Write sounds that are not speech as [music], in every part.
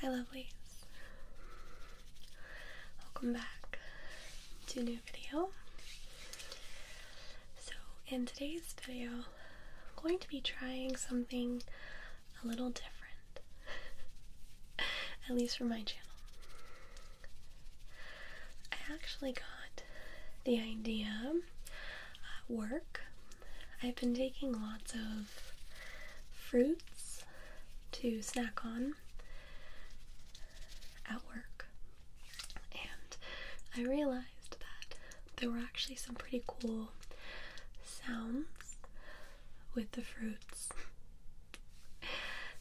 Hi, lovelies. Welcome back to new video. So, in today's video, I'm going to be trying something a little different, [laughs] at least for my channel. I actually got the idea at uh, work. I've been taking lots of fruits to snack on at work, and I realized that there were actually some pretty cool sounds with the fruits.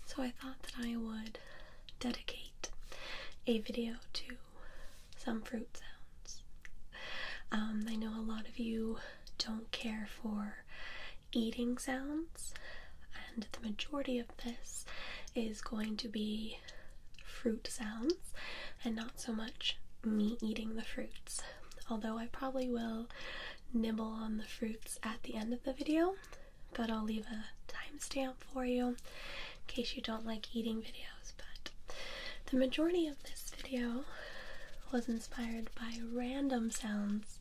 So I thought that I would dedicate a video to some fruit sounds. Um, I know a lot of you don't care for eating sounds, and the majority of this is going to be fruit sounds and not so much me eating the fruits. Although I probably will nibble on the fruits at the end of the video, but I'll leave a timestamp for you in case you don't like eating videos. But the majority of this video was inspired by random sounds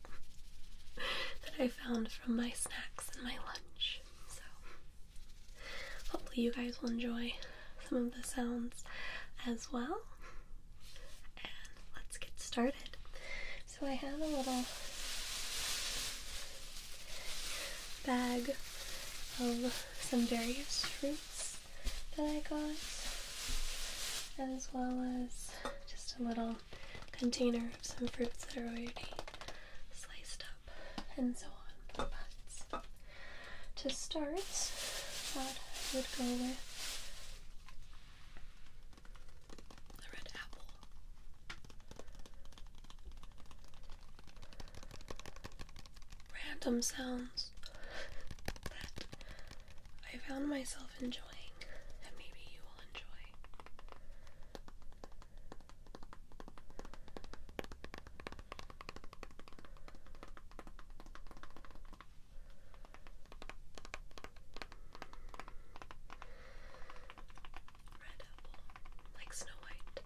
that I found from my snacks and my lunch. So hopefully you guys will enjoy some of the sounds as well. And let's get started. So I have a little bag of some various fruits that I got, as well as just a little container of some fruits that are already sliced up and so on. But to start, that would go with the red apple. Random sounds that I found myself enjoying, and maybe you will enjoy. Red apple, like Snow White.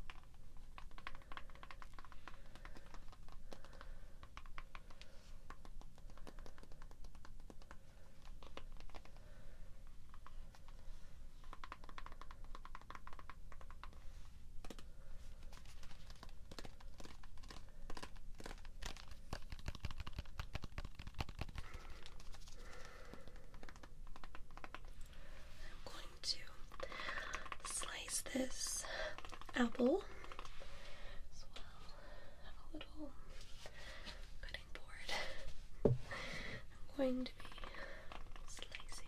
I'm going to slice this apple a little cutting board. I'm going to be slicing.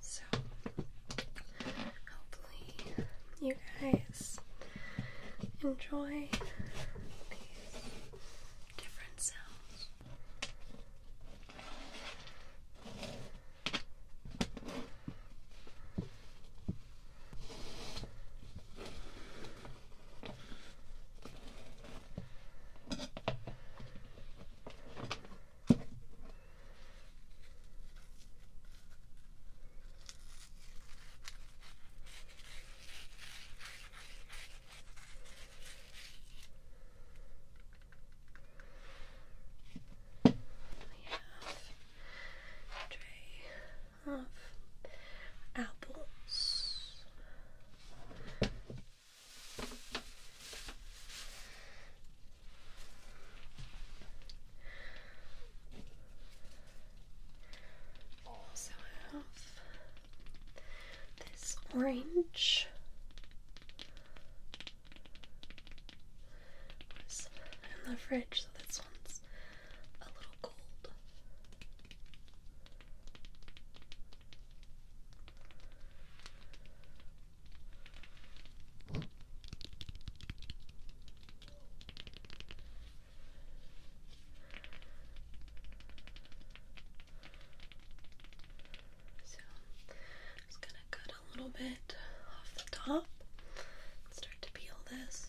So, hopefully, you guys enjoy these different sounds. I have a tray of apples. So have this orange. Was in the fridge, so this one's a little cold. So I'm just gonna cut a little bit off the top and start to peel this.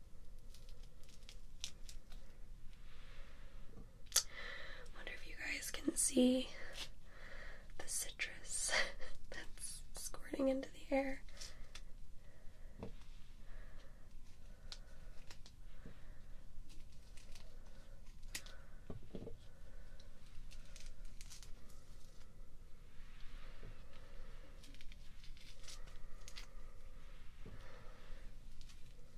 Wonder if you guys can see the citrus [laughs] that's squirting into the air.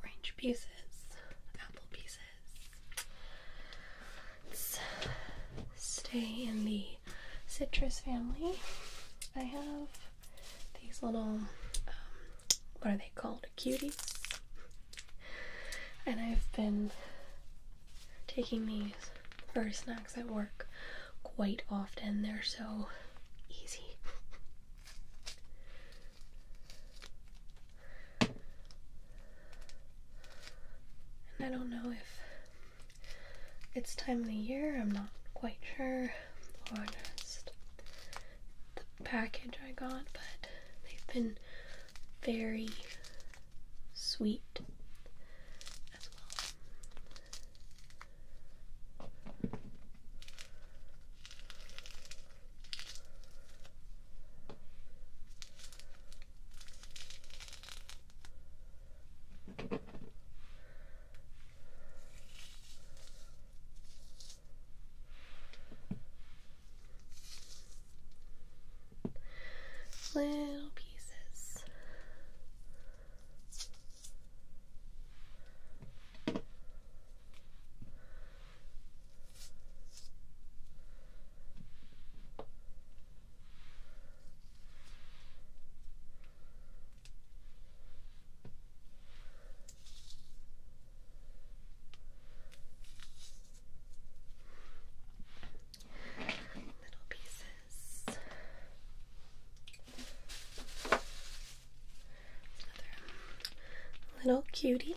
Orange pieces, apple pieces. stay in the citrus family. I have these little, um, what are they called? cuties. And I've been taking these for snacks at work quite often. They're so easy. And I don't know if it's time of the year, I'm not quite sure, or package I got, but they've been very sweet as well little pieces. Little pieces. little cutie.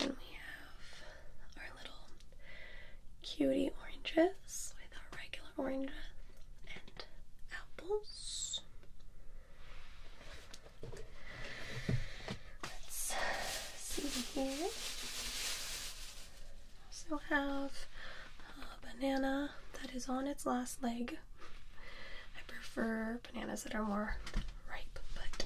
Then we have our little cutie oranges regular oranges mm. and apples. Let's see here. Also have a banana that is on its last leg. I prefer bananas that are more ripe, but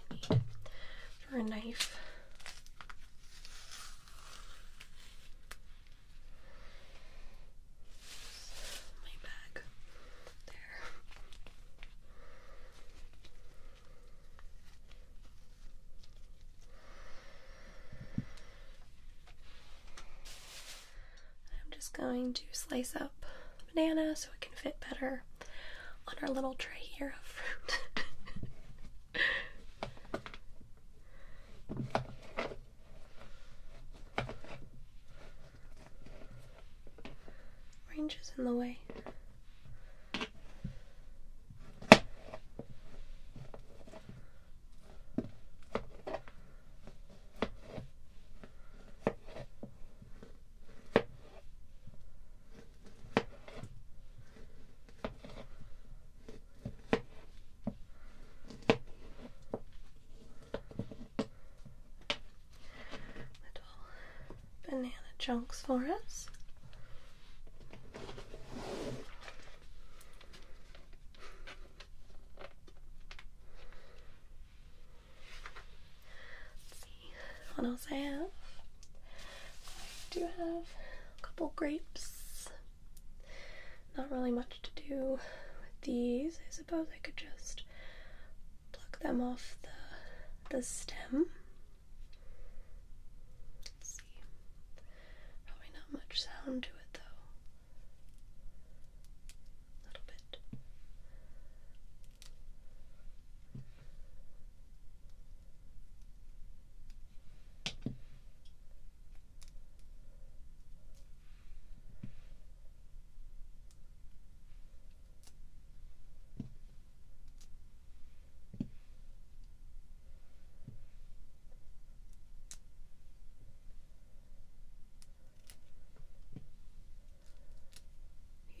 Really need for a knife. My bag there. I'm just going to slice up the banana so it can fit better on our little tray here of fruit. [laughs] Orange is in the way. Little banana chunks for us. Let's see what else I have. I do have a couple grapes. Not really much to do with these. I suppose I could just pluck them off the the stem. Let's see. Probably not much sound to it though. A little bit.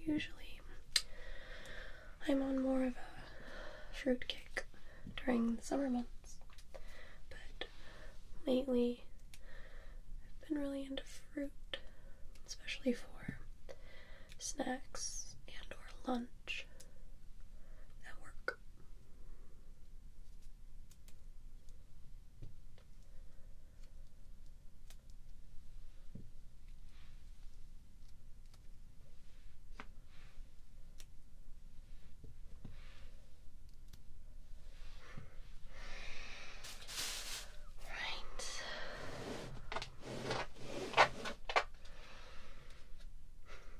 Usually, I'm on more of a fruit kick during the summer months, but lately I've been really into fruit, especially for snacks and or lunch at work. Right.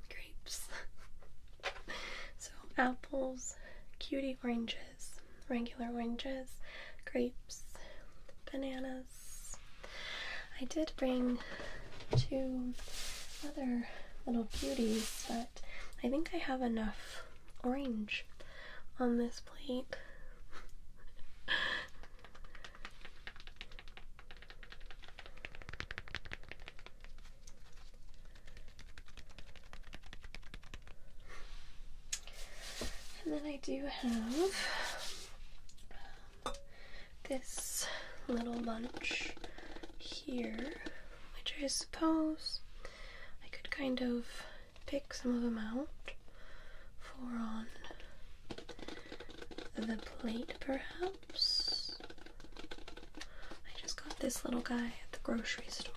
[laughs] Grapes. [laughs] So apples, cutie oranges, regular oranges, grapes, bananas. I did bring two other little beauties, but I think I have enough orange on this plate. [laughs] And then I do have this little bunch here, which I suppose I could kind of pick some of them out for on the plate, perhaps. I just got this little guy at the grocery store.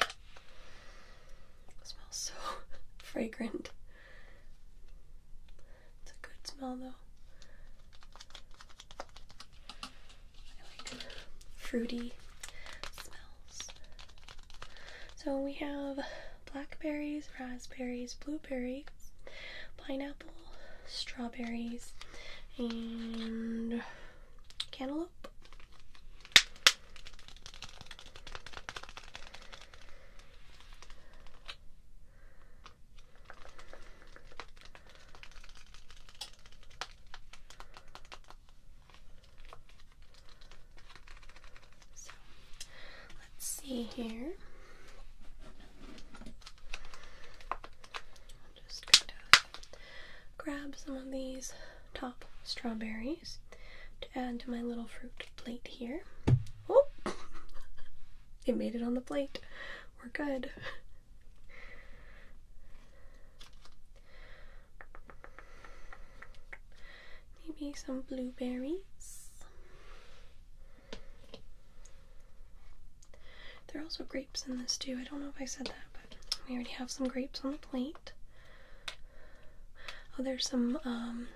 It smells so [laughs] fragrant. It's a good smell though. I like fruity smells. So we have blackberries, raspberries, blueberries, pineapple strawberries, and cantaloupe. So let's see here just going to grab some of these top strawberries to add to my little fruit plate here. Oh! it [laughs] made it on the plate. We're good. Maybe some blueberries. They're also great grapes in this too. I don't know if I said that, but we already have some grapes on the plate. Oh, there's some um,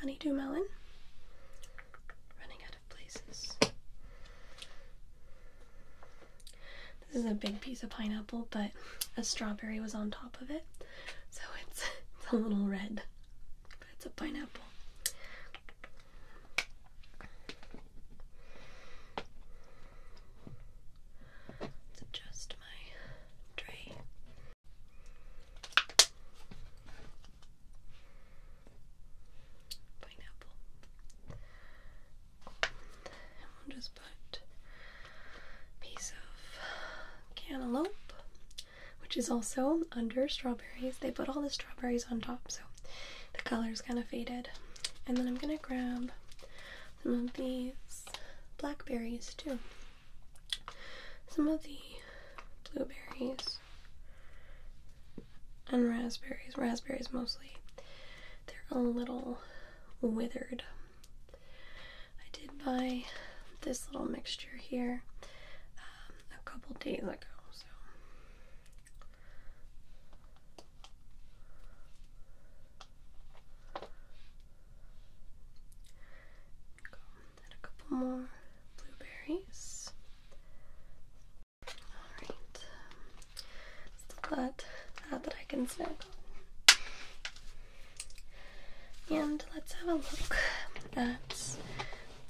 honeydew melon. Running out of places. This is a big piece of pineapple, but a strawberry was on top of it, so it's, [laughs] it's a little red. But it's a pineapple adjust my tray. Pineapple. just put piece of cantaloupe, which is also under strawberry. They put all the strawberries on top, so the color's kind of faded. And then I'm gonna grab some of these blackberries too. Some of the blueberries and raspberries. Raspberries mostly. They're a little withered. I did buy this little mixture here um, a couple days ago, so then a couple more blueberries. Alright. Still got that I can snack And let's have a look at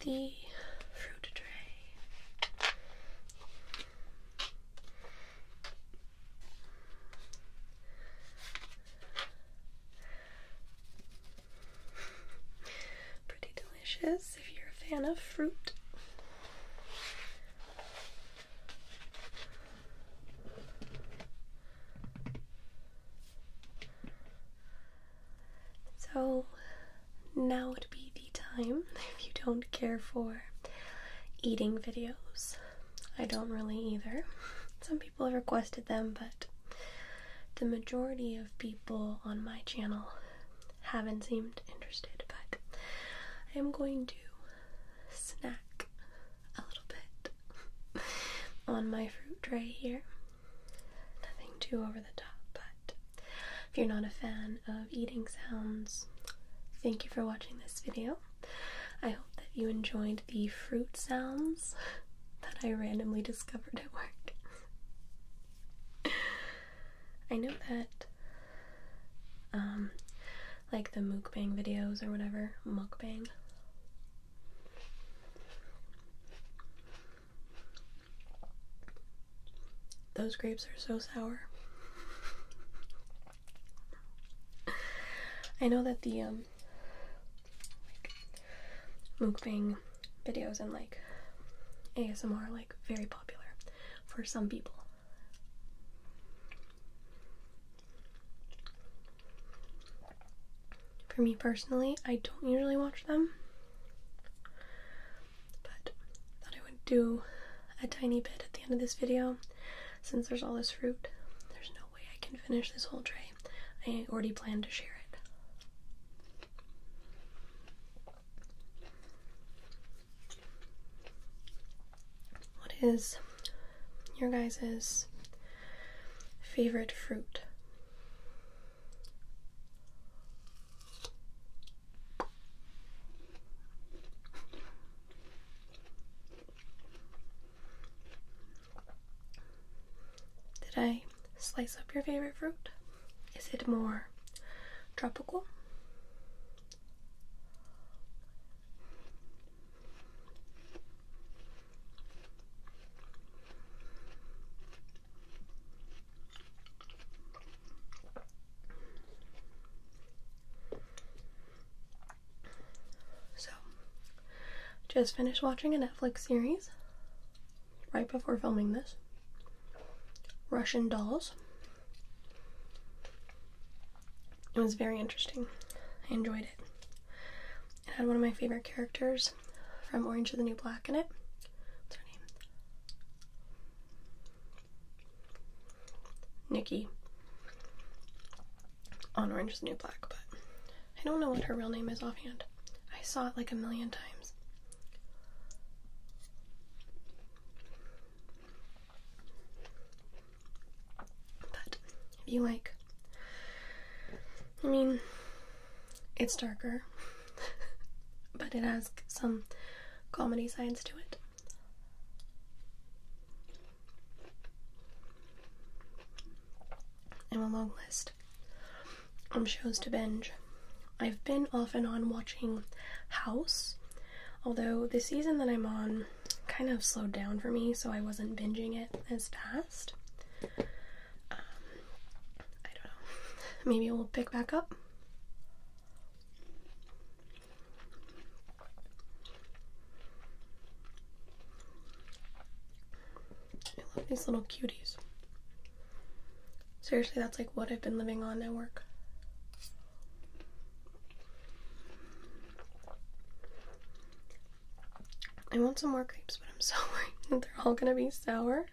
the fruit tray. [sighs] Pretty delicious if you're a fan of fruit. So, now would be the time [laughs] if you don't care for eating videos. I don't really either. Some people have requested them, but the majority of people on my channel haven't seemed interested. But I am going to snack a little bit [laughs] on my fruit tray here. Nothing too over the top, but if you're not a fan of eating sounds, thank you for watching this video. I hope that you enjoyed the fruit sounds that I randomly discovered at work. [laughs] I know that, um, like the mukbang videos or whatever, mukbang. Those grapes are so sour. I know that the um videos and like ASMR like very popular for some people. For me personally, I don't usually watch them. But I thought I would do a tiny bit at the end of this video since there's all this fruit. There's no way I can finish this whole tray. I already planned to share it. What is your guys' favorite fruit? Did I slice up your favorite fruit? Is it more tropical? So, just finished watching a Netflix series right before filming this Russian Dolls. It was very interesting. I enjoyed it. It had one of my favorite characters from Orange is the New Black in it. What's her name? Nikki on Orange is New Black, but I don't know what her real name is offhand. I saw it like a million times. But if you like, I mean, it's darker. [laughs] but it has some comedy science to it. I'm a long list of shows to binge. I've been off and on watching House, although the season that I'm on kind of slowed down for me, so I wasn't binging it as fast. Um, I don't know. [laughs] Maybe we'll pick back up. I love these little cuties. Seriously, that's like what I've been living on at work. I want some more grapes, but I'm so [laughs] worried that they're all gonna be sour.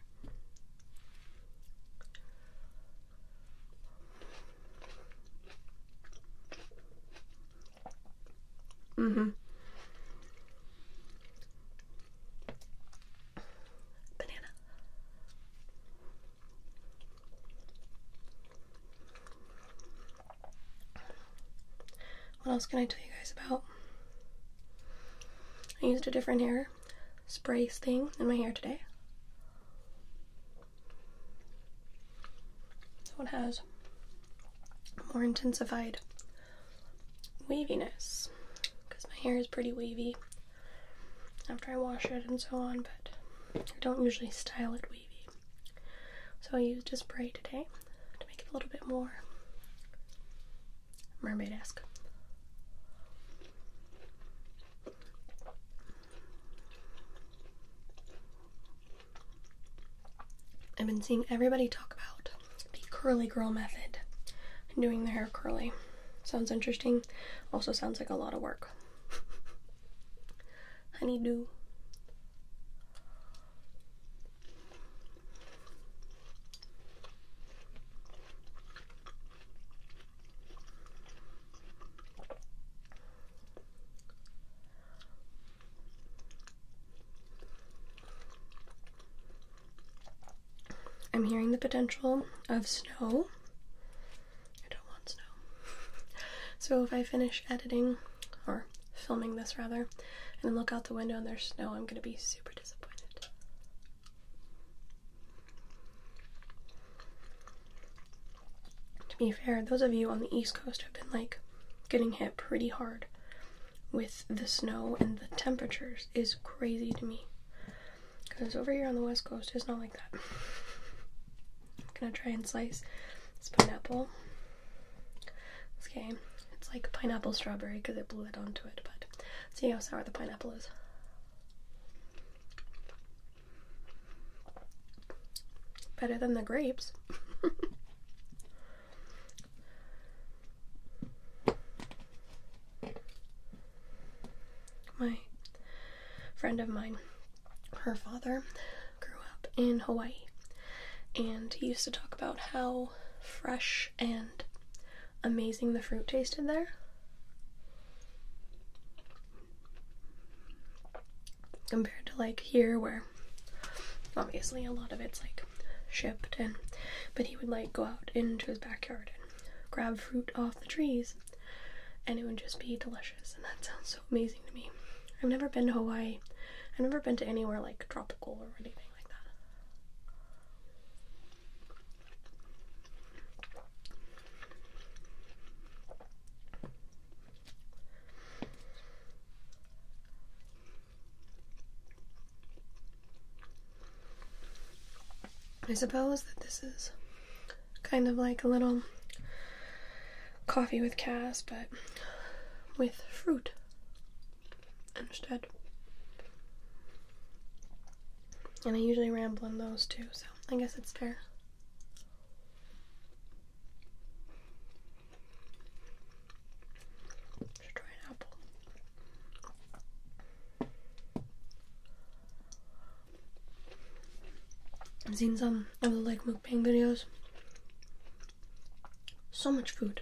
Mm-hmm. Banana. What else can I tell you guys about? I used a different hair. Spray thing in my hair today. So it has more intensified waviness because my hair is pretty wavy after I wash it and so on, but I don't usually style it wavy. So I used a spray today to make it a little bit more mermaid-esque. I've been seeing everybody talk about the curly girl method doing the hair curly. Sounds interesting. Also sounds like a lot of work. [laughs] Honeydew. I'm hearing the potential of snow. I don't want snow. [laughs] so if I finish editing, or filming this rather, and look out the window and there's snow, I'm gonna be super disappointed. To be fair, those of you on the East Coast have been like getting hit pretty hard with the snow and the temperatures is crazy to me. Because over here on the West Coast, it's not like that. [laughs] I'm gonna try and slice this pineapple. Okay, it's like pineapple strawberry because it blew it onto it, but see how sour the pineapple is. Better than the grapes. [laughs] My friend of mine, her father grew up in Hawaii and he used to talk about how fresh and amazing the fruit tasted there compared to like here where obviously a lot of it's like shipped and but he would like go out into his backyard and grab fruit off the trees and it would just be delicious and that sounds so amazing to me i've never been to hawaii i've never been to anywhere like tropical or anything like that I suppose that this is kind of like a little coffee with cash, but with fruit instead. And I usually ramble in those too, so I guess it's fair. Should try an apple. I've seen some of the like mukbang videos. So much food.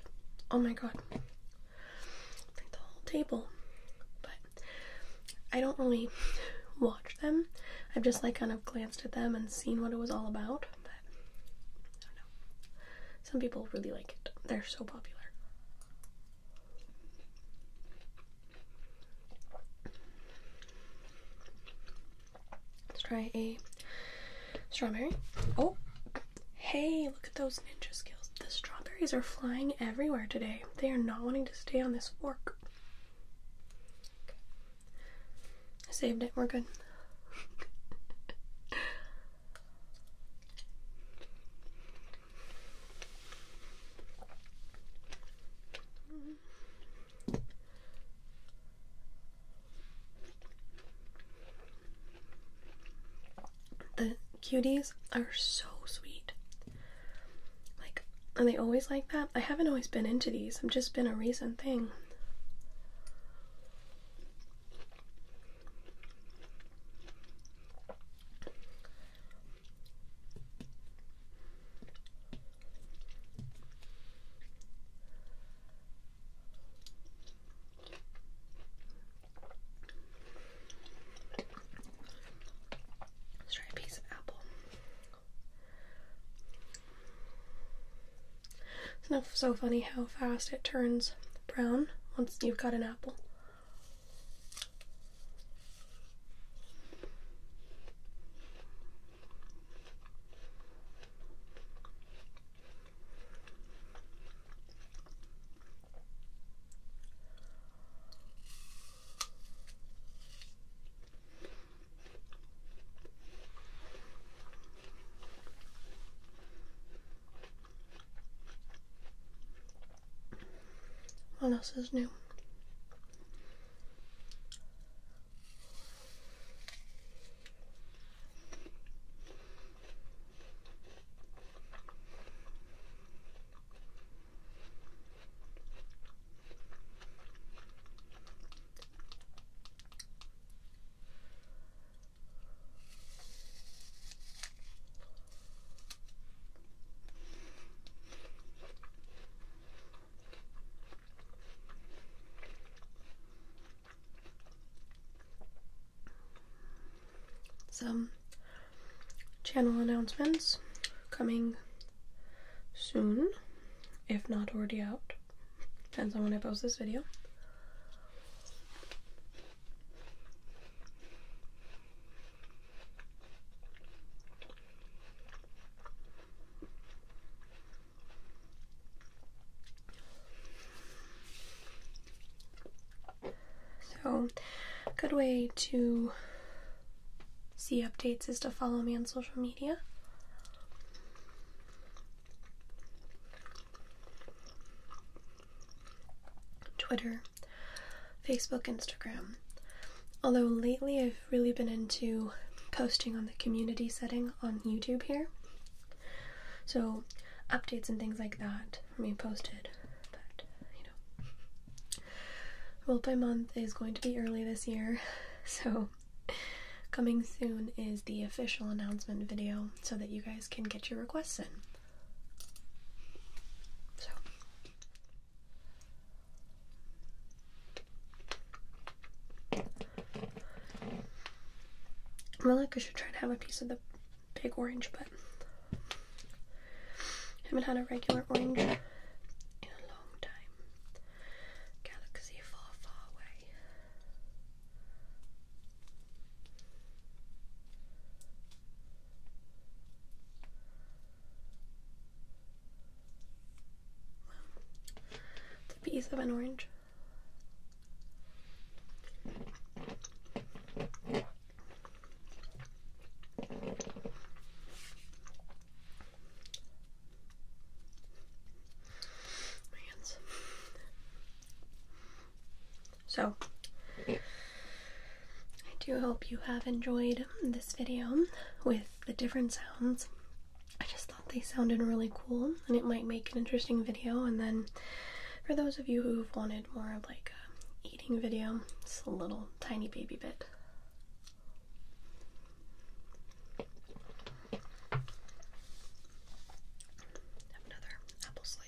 Oh my god. the whole table. But I don't really [laughs] watch them. I've just like kind of glanced at them and seen what it was all about. But I don't know. Some people really like it. They're so popular. Let's try a strawberry. Oh, hey, look at those ninja skills. The strawberries are flying everywhere today. They are not wanting to stay on this fork. I saved it. We're good. The cuties are so sweet. Like, are they always like that? I haven't always been into these, i am just been a recent thing. try a piece of apple. It's not so funny how fast it turns brown once you've got an apple. What else is new? Some channel announcements coming soon, if not already out. Depends on when I post this video. So, good way to see updates is to follow me on social media. Twitter, Facebook, Instagram. Although lately I've really been into posting on the community setting on YouTube here. So updates and things like that for me posted you know. month is going to be early this year, [laughs] so coming soon is the official announcement video so that you guys can get your requests in. So. I feel like I should try to have a piece of the big orange, but haven't had a regular orange in a long time. Galaxy far, far away. the piece of an orange. My hands. So, I do hope you have enjoyed this video with the different sounds. I just thought they sounded really cool and it might make an interesting video. And then, for those of you who've wanted more of like eating video, it's a little tiny baby bit. Have another apple slice.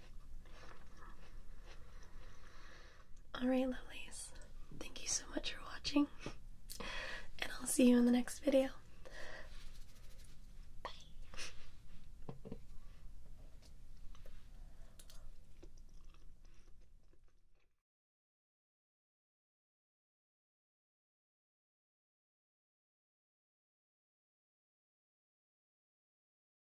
Alright, lovelies. Thank you so much for watching, and I'll see you in the next video. Bye.